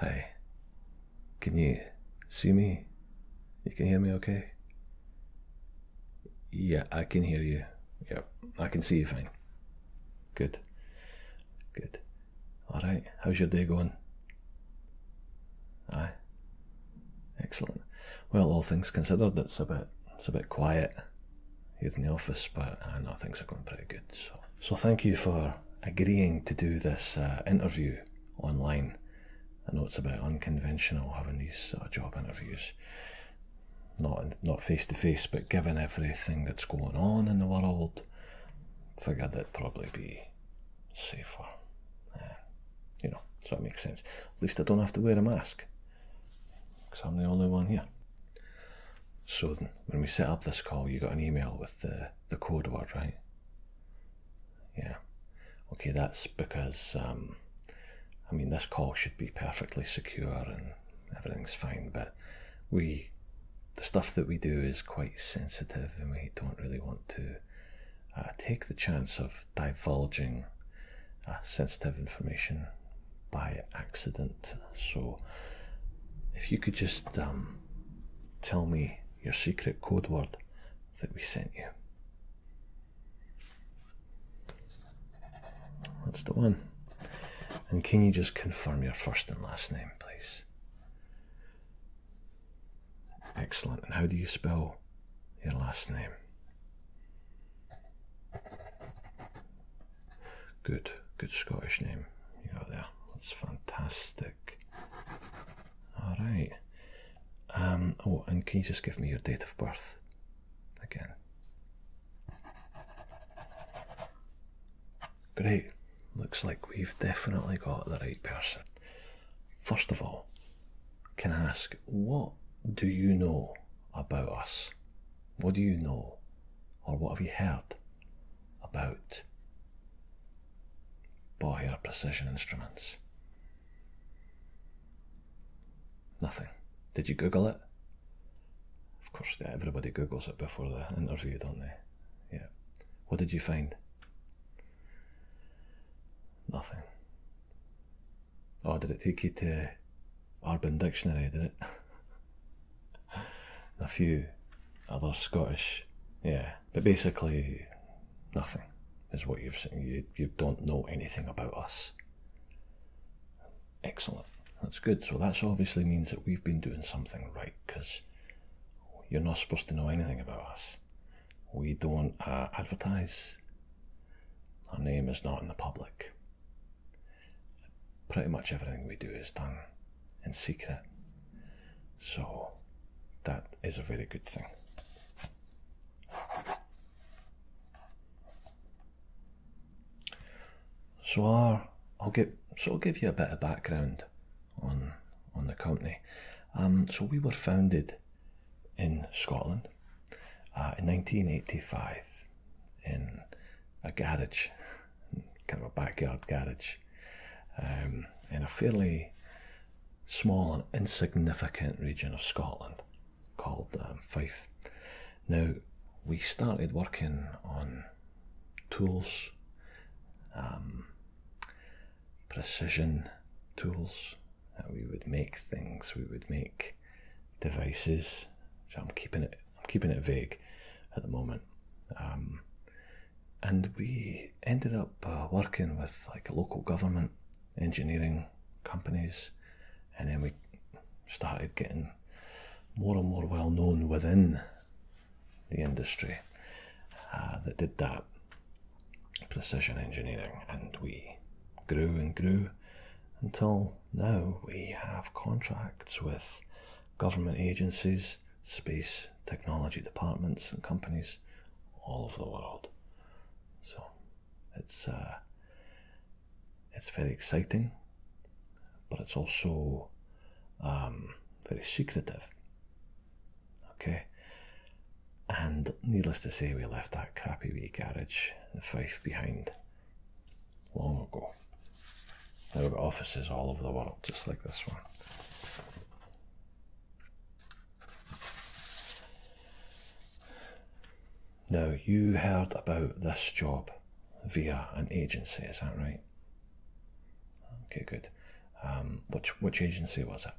Hi. Can you see me? You can hear me okay? Yeah, I can hear you. Yep, I can see you fine. Good. Good. Alright, how's your day going? Aye. Excellent. Well, all things considered, it's a bit, it's a bit quiet here in the office, but I uh, know things are going pretty good. So, so thank you for agreeing to do this uh, interview online. I know it's a bit unconventional having these sort of job interviews, not not face to face, but given everything that's going on in the world, figured that would probably be safer. Uh, you know, so it makes sense. At least I don't have to wear a mask because I'm the only one here. So when we set up this call, you got an email with the, the code word, right? Yeah. Okay, that's because, um, I mean, this call should be perfectly secure and everything's fine, but we, the stuff that we do is quite sensitive and we don't really want to uh, take the chance of divulging uh, sensitive information by accident so, if you could just um, tell me your secret code word that we sent you. That's the one. And can you just confirm your first and last name, please? Excellent. And how do you spell your last name? Good, good Scottish name you got there. That's fantastic. All right. Um, oh, and can you just give me your date of birth again? Great. Looks like we've definitely got the right person. First of all, can I ask what do you know about us? What do you know, or what have you heard about Boyer precision instruments? Nothing. Did you Google it? Of course, everybody Googles it before the interview, don't they? Yeah. What did you find? Nothing. Oh, did it take you to Urban Dictionary did it. a few other Scottish, yeah, but basically nothing is what you've seen. You, you don't know anything about us. Excellent. That's good. So that obviously means that we've been doing something right because you're not supposed to know anything about us. We don't uh, advertise. Our name is not in the public pretty much everything we do is done in secret. So that is a very good thing. So I'll give so I'll give you a bit of background on on the company. Um, so we were founded in Scotland uh, in 1985 in a garage kind of a backyard garage um, in a fairly small and insignificant region of Scotland called um, Fife. Now, we started working on tools, um, precision tools. we would make things, we would make devices. So I'm keeping it I'm keeping it vague at the moment. Um, and we ended up uh, working with like local government engineering companies, and then we started getting more and more well known within the industry uh, that did that precision engineering, and we grew and grew until now we have contracts with government agencies, space technology departments, and companies all over the world. So it's uh, it's very exciting, but it's also um, very secretive. Okay. And needless to say, we left that crappy wee garage and Fife behind long ago. There were offices all over the world, just like this one. Now, you heard about this job via an agency, is that right? Okay, good. Um, which, which agency was it?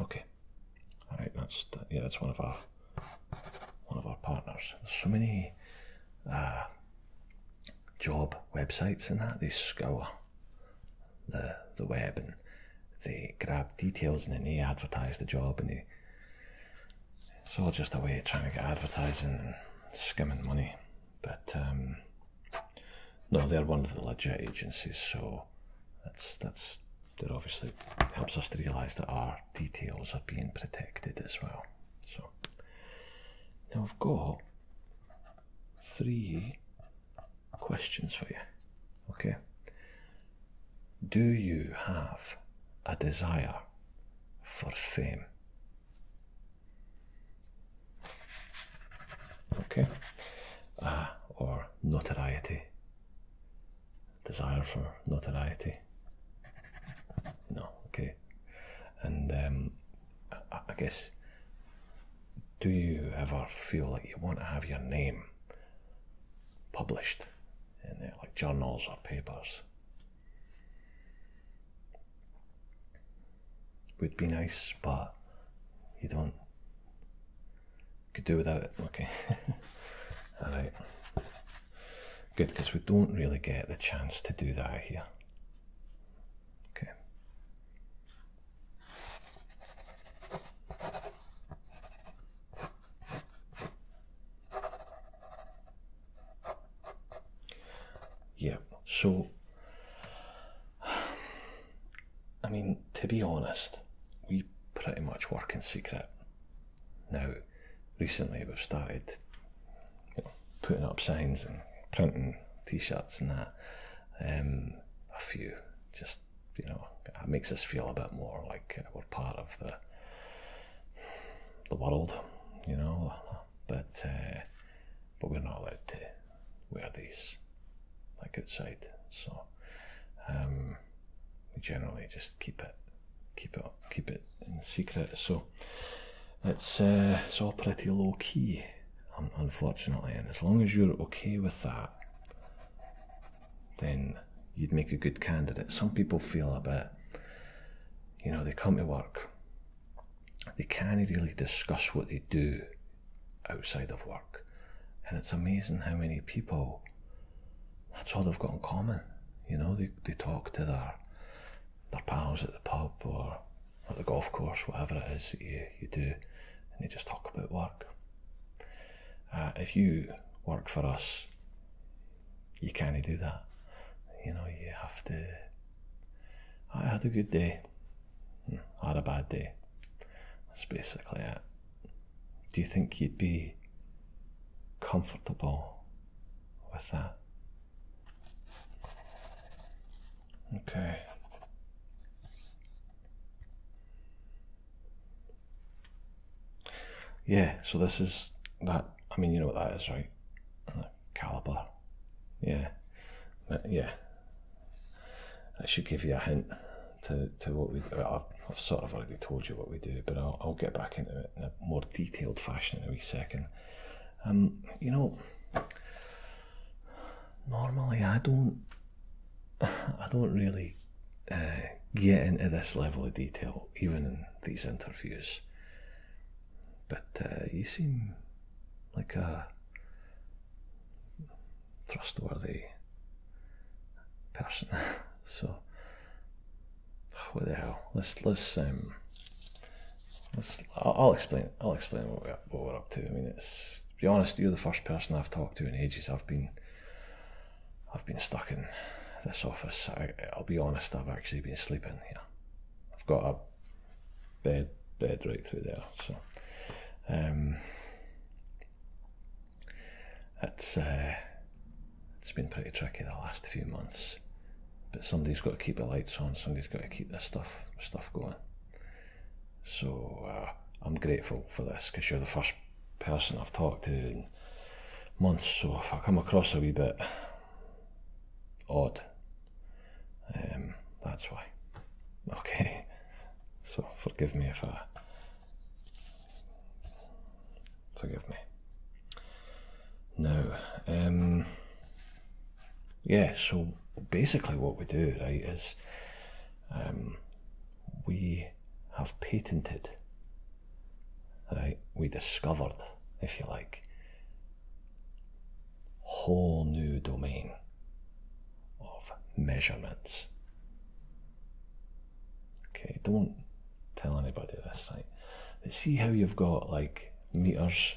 Okay. All right, that's yeah, that's one of our one of our partners. There's so many uh, job websites and that they scour the the web and they grab details and then they advertise the job and it's all just a way of trying to get advertising and skimming money. But um, no, they're one of the legit agencies, so that's that's that obviously helps us to realize that our details are being protected as well. So now I've got three questions for you. Okay. Do you have a desire for fame? Okay. Uh, or notoriety desire for notoriety. No, okay. And um, I, guess, do you ever feel like you want to have your name published in there, uh, like journals or papers? Would be nice, but you don't could do without it. Okay. Alright. Good, because we don't really get the chance to do that here. Okay. Yeah, so I mean, to be honest, we pretty much work in secret. Now, recently we've started putting up signs and printing t shirts and that. Um, a few, just, you know, it makes us feel a bit more like we're part of the, the world, you know. But, uh, but we're not allowed to wear these like outside. So um, we generally just keep it, keep it, keep it in secret. So it's uh, it's all pretty low key, unfortunately. And as long as you're okay with that, then you'd make a good candidate. Some people feel a bit, you know, they come to work, they can't really discuss what they do outside of work. And it's amazing how many people that's all they've got in common. You know, they, they talk to their their pals at the pub or at the golf course, whatever it is that you, you do, and they just talk about work. Uh, if you work for us, you can't do that. You know, you have to. I had a good day had a bad day. That's basically it. Do you think you'd be comfortable with that? Okay. Yeah, so this is that. I mean, you know what that is, right? Uh, caliber. Yeah. But yeah, that should give you a hint to, to what we I've, sort of already told you what we do, but I'll, get back into it in a more detailed fashion in a wee second. Um, you know, normally I don't, I don't really uh, get into this level of detail, even in these interviews. But uh, you seem like a trustworthy person. so oh, what Let's let's um let's I'll, explain I'll explain what we're, what we're up to. I mean, it's to be honest, you're the first person I've talked to in ages. I've been I've been stuck in this office. I, will be honest, I've actually been sleeping here. I've got a bed bed right through there. So um, it's uh, it's been pretty tricky the last few months, but somebody's got to keep the lights on. Somebody's got to keep the stuff stuff going. So uh, I'm grateful for this because you're the first person I've talked to in months. So if I come across a wee bit odd, um, that's why. Okay, so forgive me if I. Forgive me. No. um, yeah, so basically what we do, right, is um, we have patented, right, we discovered, if you like, whole new domain of measurements. Okay, don't tell anybody this, right? But see how you've got like meters,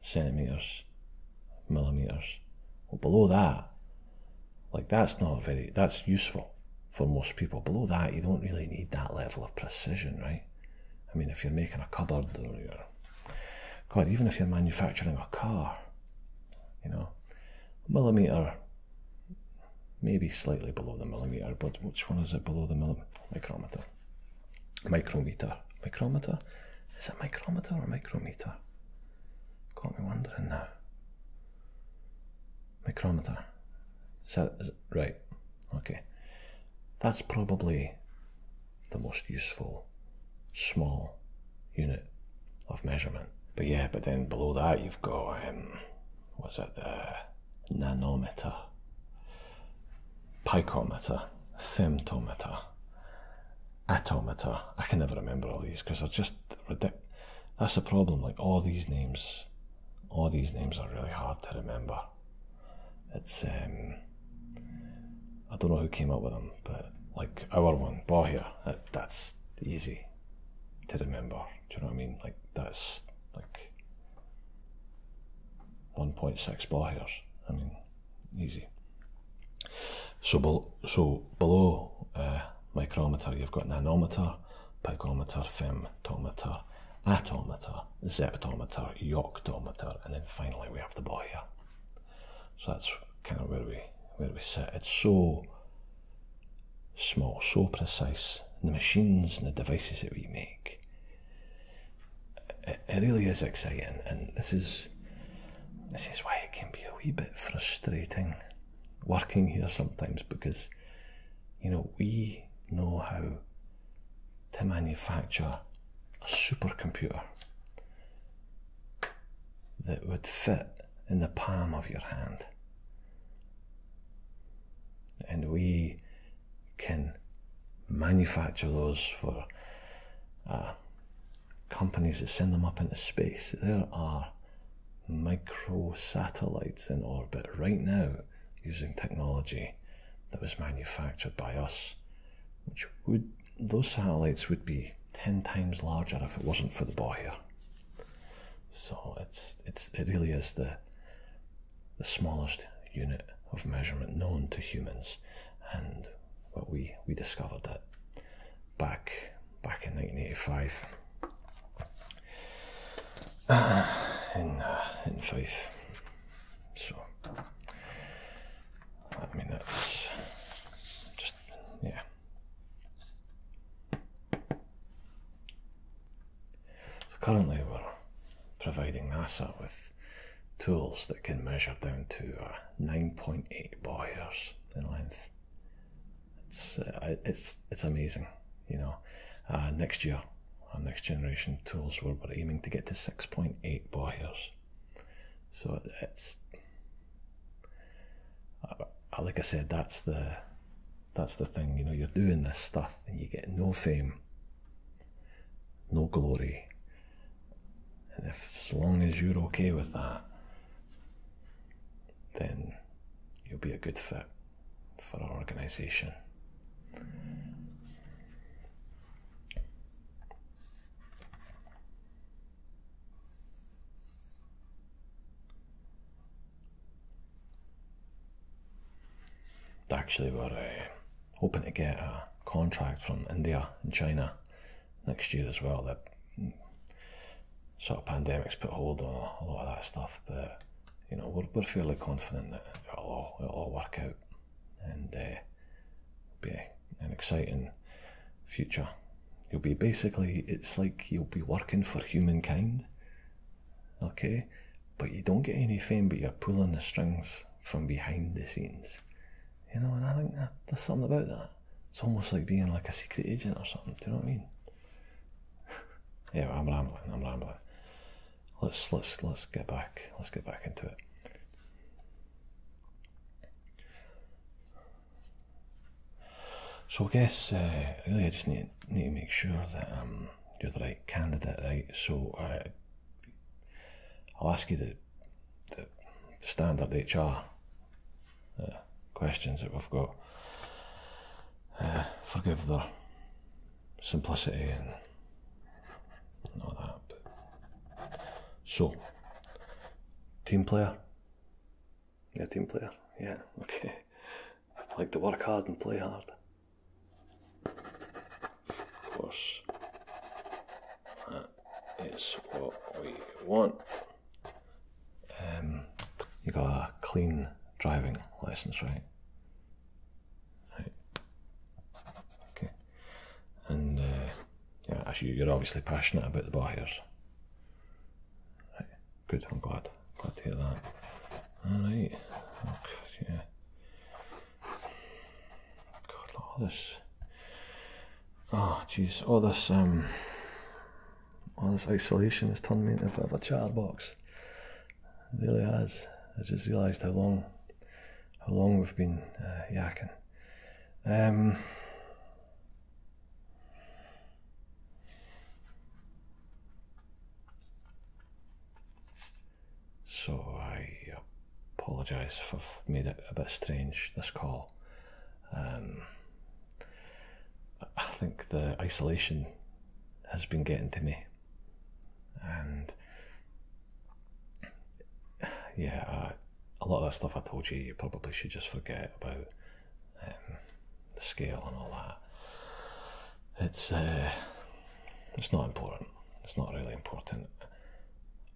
centimeters, millimeters. Well, below that, like that's not very, that's useful for most people. Below that, you don't really need that level of precision, right? I mean, if you're making a cupboard or you're God, even if you're manufacturing a car, you know, millimeter, maybe slightly below the millimeter, but which one is it below the millimeter? Micrometer. Micrometer. Micrometer? Is it micrometer or micrometer? Got me wondering now. Micrometer. Is that right? Okay. That's probably the most useful small unit of measurement. But yeah, but then below that you've got um, what's that the nanometer, picometer, femtometer, atometer. I can never remember all these because they're just ridiculous. That's the problem. Like all these names, all these names are really hard to remember. It's um, I don't know who came up with them, but like our one, Bahia, that, that's easy to remember. Do you know what I mean? Like that's like 1.6 Bahirs. I mean, easy. So, below uh, micrometer, you've got nanometer, picometer, femtometer, atometer, zeptometer, yoctometer, and then finally we have the ball here. So that's kind of where we where we sit. It's so small, so precise. the machines and the devices that we make. It, it really is exciting, and this is this is why it can be a wee bit frustrating working here sometimes because you know we know how to manufacture a supercomputer that would fit in the palm of your hand. And we can manufacture those for uh, companies that send them up into space. There are microsatellites in orbit right now using technology that was manufactured by us which would those satellites would be 10 times larger if it wasn't for the ball here. So it's it's it really is the the smallest unit of measurement known to humans and well, we we discovered that back back in 1985 in uh, in faith so, I mean, that's just, yeah. So, currently we're providing NASA with tools that can measure down to uh, 9.8 boyers in length. It's, uh, it's, it's amazing, you know. Uh, next year, our next generation tools where we're aiming to get to 6.8 buyers. So it's uh, like I said, that's the that's the thing. You know, you're doing this stuff and you get no fame, no glory, and if as long as you're okay with that, then you'll be a good fit for our organisation. Actually, we're uh, hoping to get a contract from India and China next year as well. The mm, sort of pandemic's put hold on a lot of that stuff, but you know we're, we're fairly confident that it all, it'll all work out and uh, be an exciting future. You'll be basically, it's like you'll be working for humankind, okay? But you don't get any fame, but you're pulling the strings from behind the scenes, you know. And I think there's something about that. It's almost like being like a secret agent or something. Do you know what I mean? yeah, I'm rambling. I'm rambling let's let's let's get back let's get back into it. So I guess uh, really I just need need to make sure that you're the right candidate, right? So I uh, will ask you the the standard HR uh, questions that we've got. forgive the simplicity and all that. so, team player. Yeah, team player. Yeah, okay. like to work hard and play hard. Of course, that is what we want. Um, you got a clean driving license, right? Right. Okay. And uh, yeah, as you, you're obviously passionate about the buyers. Right. Good. I'm glad. Glad to hear that. All right. Oh, yeah. God, all this. Oh, jeez. All this. Um. All this isolation has turned me into a bit of a box really has. I just realised how long, how long we've been uh, yakking. Um, so I apologise if I've made it a bit strange this call. Um, I think the isolation has been getting to me and yeah, a lot of that stuff I told you, you probably should just forget about um, the scale and all that. It's uh, it's not important. It's not really important.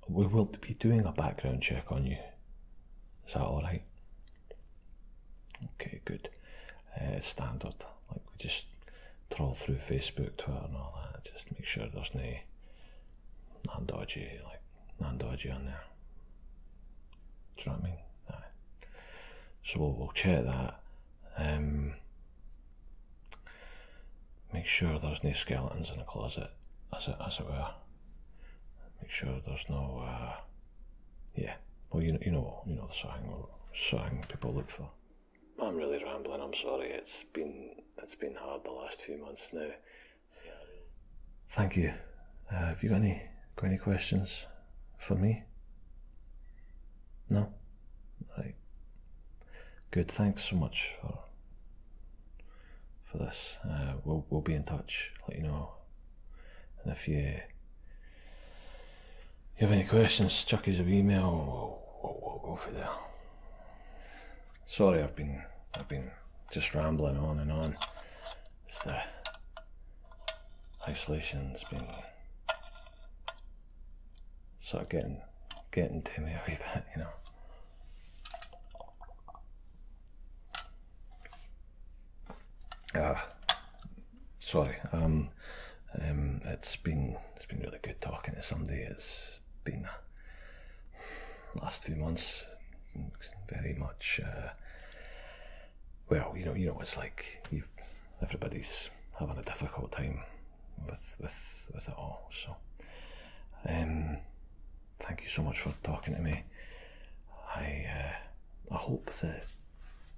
We will be doing a background check on you. Is that all right? Okay, good. Uh, standard. Like we just troll through Facebook, Twitter, and all that. Just make sure there's no non dodgy, like non dodgy on there. Do you know what I mean? So we'll, check that. Um, make sure there's no skeletons in the closet, as it as it were. Make sure there's no. Uh, yeah. Well, you know, you know, you know the saying, saying people look for. I'm really rambling. I'm sorry. It's been it's been hard the last few months now. Thank you. Uh, have you got any got any questions for me? No. Right. Good. Thanks so much for for this. Uh, we'll we'll be in touch. Let you know. And if you you have any questions, chuck us an email. Sorry, I've been I've been just rambling on and on. It's the isolation's been sort of getting getting to me a bit, you know. Ah, sorry. Um, um, it's been it's been really good talking to somebody. It's been uh, last few months very much. Uh, well, you know, you know, it's like you everybody's having a difficult time with with with it all. So, um, thank you so much for talking to me. I uh, I hope that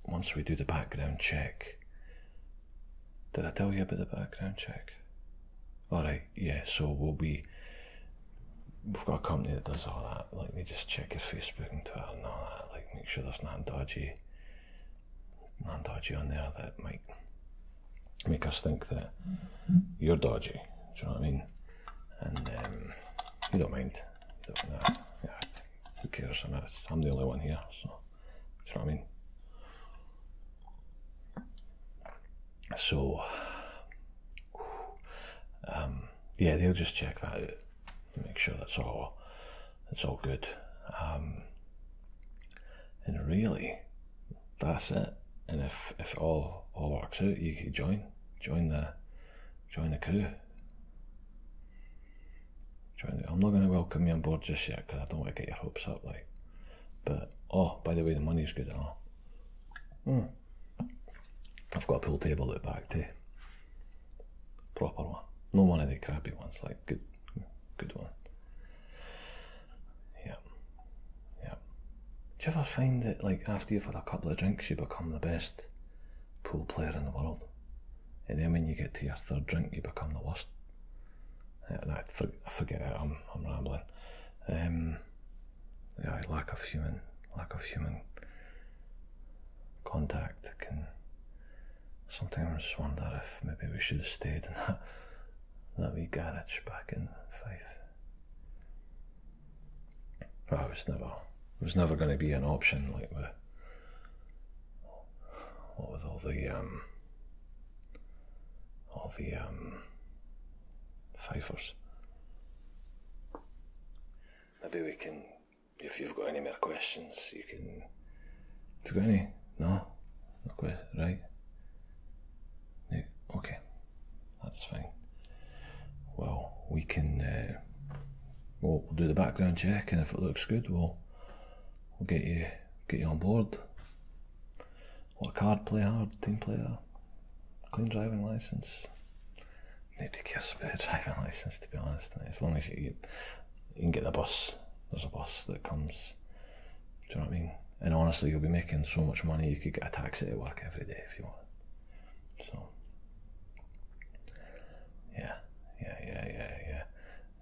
once we do the background check. Did I tell you about the background check? Alright, yeah, so we'll be. We've got a company that does all that. Like, they just check your Facebook and Twitter and all that. Like, make sure there's not dodgy, not dodgy on there that might make us think that you're dodgy. Do you know what I mean? And um, you don't mind. don't, no, no, who cares? I am the only one here, so that's what I mean. So, um, yeah, they'll just check that make sure that's all, that's all good. Um, and really, that's it. And if, if all all works out, you can join join the join the crew. I'm not going to welcome you on board just yet because I don't want to get your hopes up. Like, but oh, by the way, the money's good and oh. all. Mm. I've got a pool table at back too. Proper one, not one of the crappy ones. Like good, good one. Yeah, yeah. Do you ever find that like after you've had a couple of drinks, you become the best pool player in the world? and then when you get to your third drink, you become the worst. Uh, and I, forget it. I'm, rambling. Um, lack of human, lack of human contact can. Sometimes wonder if maybe we should have stayed in that that wee garage back in Fife. Well, it was never, it was never going to be an option like with what with all the um, all the um, fifers. Maybe we can, if you've got any more questions, you can. If you got any, no, no question, right? No, okay, that's fine. Well, we can uh, we'll, we'll do the background check, and if it looks good, we'll we'll get you get you on board. What card play hard, team player, clean driving license. Need to care about the driving license to be honest. As long as you, you can get the bus, there's a bus that comes. Do you know what I mean? And honestly, you'll be making so much money you could get a taxi to work every day if you want. So yeah, yeah, yeah, yeah,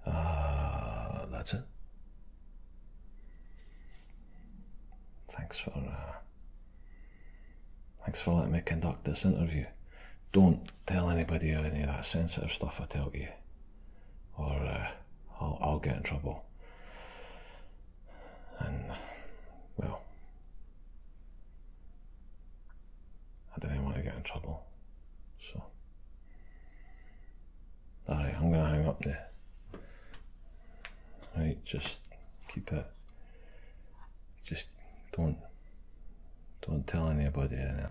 yeah. Uh, that's it. Thanks for uh, thanks for letting me conduct this interview. Don't tell anybody any of that sensitive stuff I tell you, or uh, I'll, I'll get in trouble. And well, I didn't want to get in trouble. So, alright, I'm going to hang up there. Right, just keep it. Just don't, don't tell anybody anything.